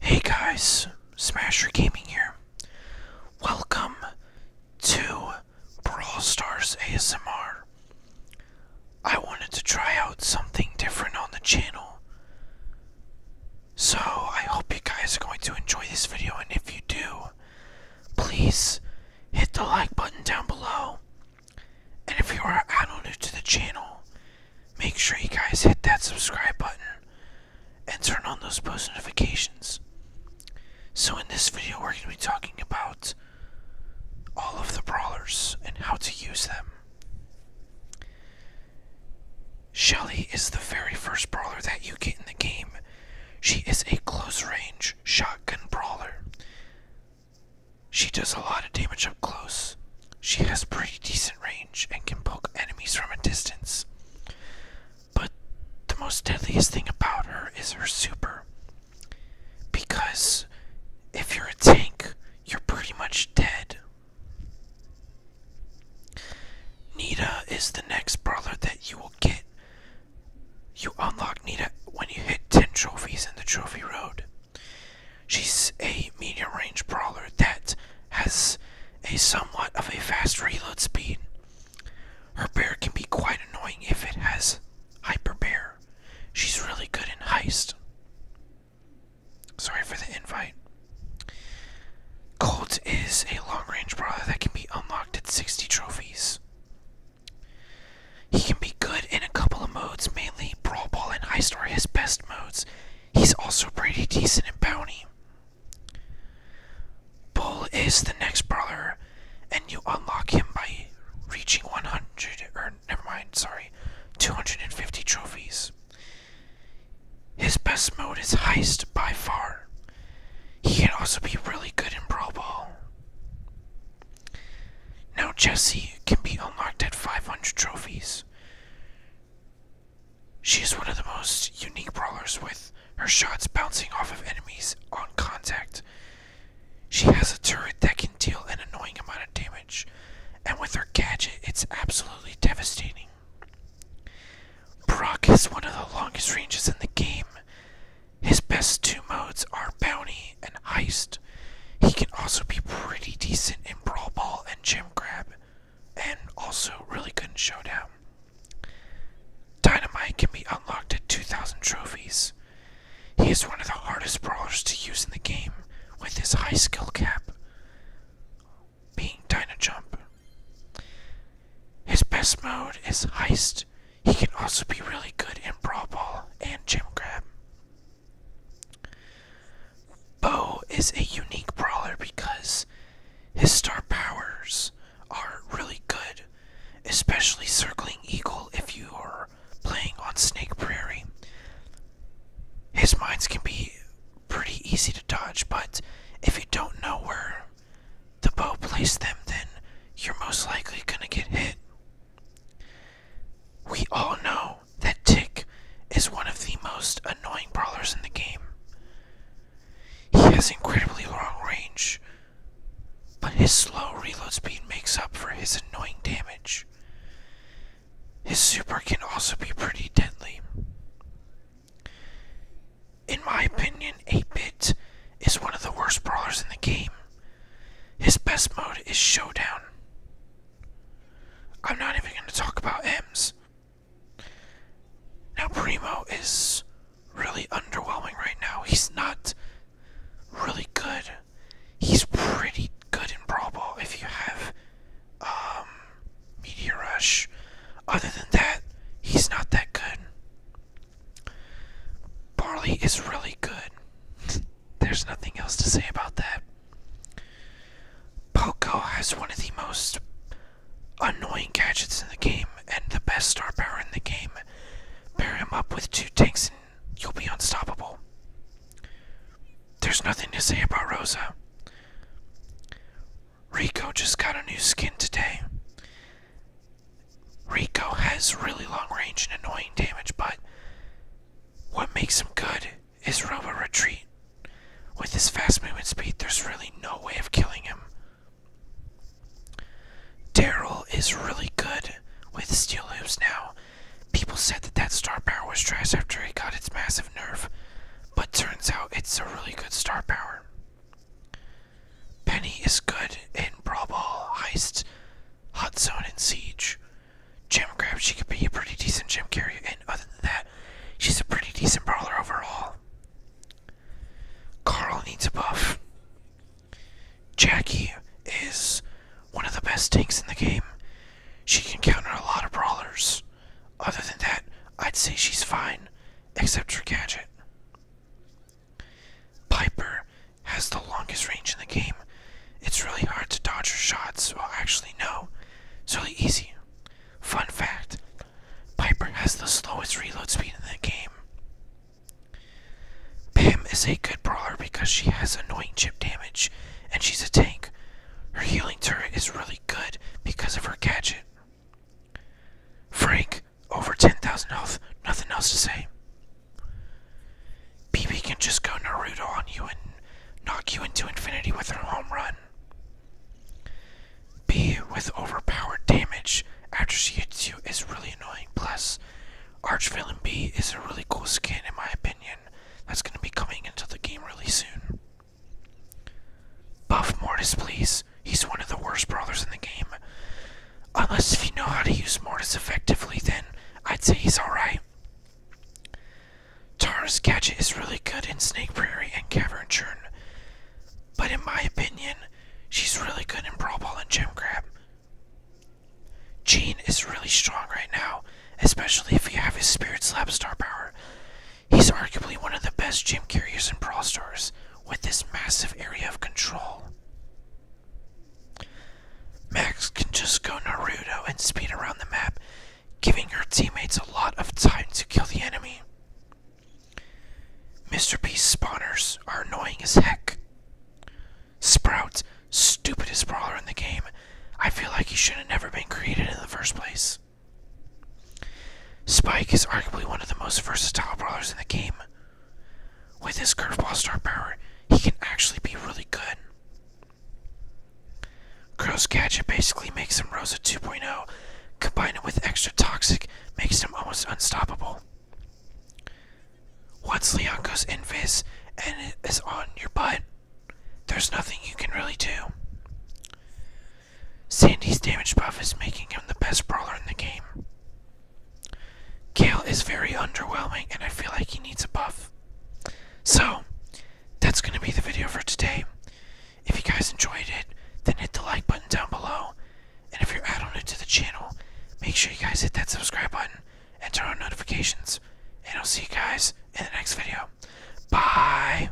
Hey guys, Smasher Gaming here. Welcome to Brawl Stars ASMR. I wanted to try out something different on the channel. So I hope you guys are going to enjoy this video and if you do, please hit the like button down below. And if you are add on new to the channel, Make sure you guys hit that subscribe button and turn on those post notifications. So, in this video, we're going to be talking about all of the brawlers and how to use them. Shelly is the very first brawler that you get in the game. She is a close range shotgun brawler. She does a lot of damage up close. She has pretty decent range and can poke enemies from a distance. But the most deadliest thing about her is her super. Because if you're a tank, you're pretty much dead. Nita is the next brawler that you will get. You unlock Nita when you hit 10 trophies in the trophy road. She's a medium range brawler that has a somewhat of a fast reload speed. Her bear can be quite annoying if it has hyper bear. She's really good in heist. Sorry for the invite. Colt is a long range brawler that can be unlocked at 60 trophies. He can be good in a couple of modes, mainly Brawl Ball and Heist are his best modes. He's also pretty decent in Bounty. Bull is the next brawler, and you unlock him by reaching 100, or never mind, sorry, 250 trophies. His best mode is Heist by far. He can also be really good in Brawl Ball. Now Jessie can be unlocked at 500 trophies. She is one of the most unique brawlers with her shots bouncing off of enemies on contact. She has a turret that can deal an annoying amount of damage, and with her gadget, it's absolutely devastating. Brock is one of the longest ranges in the game. His best two modes are Bounty and Heist. He can also be pretty decent in brawl ball and gym grab, and also really good in showdown. Dynamite can be unlocked at 2,000 trophies. He is one of the hardest brawlers to use in the game, with his high skill cap being Dyna Jump. His best mode is Heist, he can also be really good in brawl ball and gym grab. Bo is a unique brawler because his star powers are really good, especially circling eagle if you are playing on Snake Prairie. His mines can be pretty easy to dodge, but if you don't know where the bow placed them, then you're most likely gonna get hit. We all know that Tick is one of the most annoying brawlers in the game. He has incredibly long range, but his slow reload speed makes up for his annoying damage. His super can also be pretty deadly. In my opinion, Apebit is one of the worst brawlers in the game. His best mode is Showdown. I'm not even going to talk about M's. Now, Primo is really underwhelming right now. He's not really good. He's pretty good in Brawl if you have um, Meteor Rush. Other than that, he's not that good. Barley is really good. There's nothing else to say about that. Poco has one of the most annoying gadgets in the game and the best star power in the game. Pair him up with two tanks and you'll be unstoppable. There's nothing to say about Rosa. Rico just got a new skin today. Rico has really long range and annoying damage, but what makes him good is Robo Retreat. With his fast movement speed, there's really no way of killing him. Daryl is really good with Steel Hoops now. People said that that star power was trash after it got its massive nerf, but turns out it's a really good star power. Penny is good in Brawl Heist, Hot Zone, and Siege. Jim Grab, she can be a pretty decent Jim carrier, and other than that, she's a pretty decent brawler overall. Carl needs a buff. Jackie is one of the best tanks in the game. She can counter a lot of brawlers. Other than that, I'd say she's fine, except for Gadget. Piper has the longest range in the game. It's really hard to dodge her shots. Well, actually, no. It's really easy. Fun fact Piper has the slowest reload speed in the game. Pam is a good brawler because she has annoying chip damage and she's a tank. Her healing turret is really good because of her gadget. Frank over 10,000 health. Nothing else to say. BB can just go Naruto on you and knock you into infinity with her home run. B with overpowered damage after she hits you is really annoying. Plus, Archvillain B is a really cool skin in my opinion. That's going to be coming into the game really soon. Buff Mortis, please. He's one of the worst brawlers in the game. Unless if you know how to use Mortis effectively, then I'd say he's alright. Tara's gadget is really good in Snake Prairie and Cavern Churn. But in my opinion, she's really good in Brawl Ball and Gem Grab. Jean is really strong right now, especially if you have his Spirit Slap star power. He's arguably one of the best gym carriers in Brawl Stars, with this massive area of control. Max can just go Naruto and speed around the map, giving her teammates a lot of time to kill the enemy. Mr. Beast spawners are annoying as heck. Sprout, stupidest brawler in the game. I feel like he should have never been created in the first place. Spike is arguably one of the most versatile brawlers in the game. With his curveball star power, he can actually be really good. Crow's gadget basically makes him Rosa 2.0, combined with extra toxic, makes him almost unstoppable. Once Leon goes in invis and is on your butt, there's nothing you can really do. Sandy's damage buff is making him the best brawler in the game. Gale is very underwhelming, and I feel like he needs a buff. So, that's going to be the video for today. If you guys enjoyed it, then hit the like button down below. And if you're added to the channel, make sure you guys hit that subscribe button and turn on notifications. And I'll see you guys in the next video. Bye!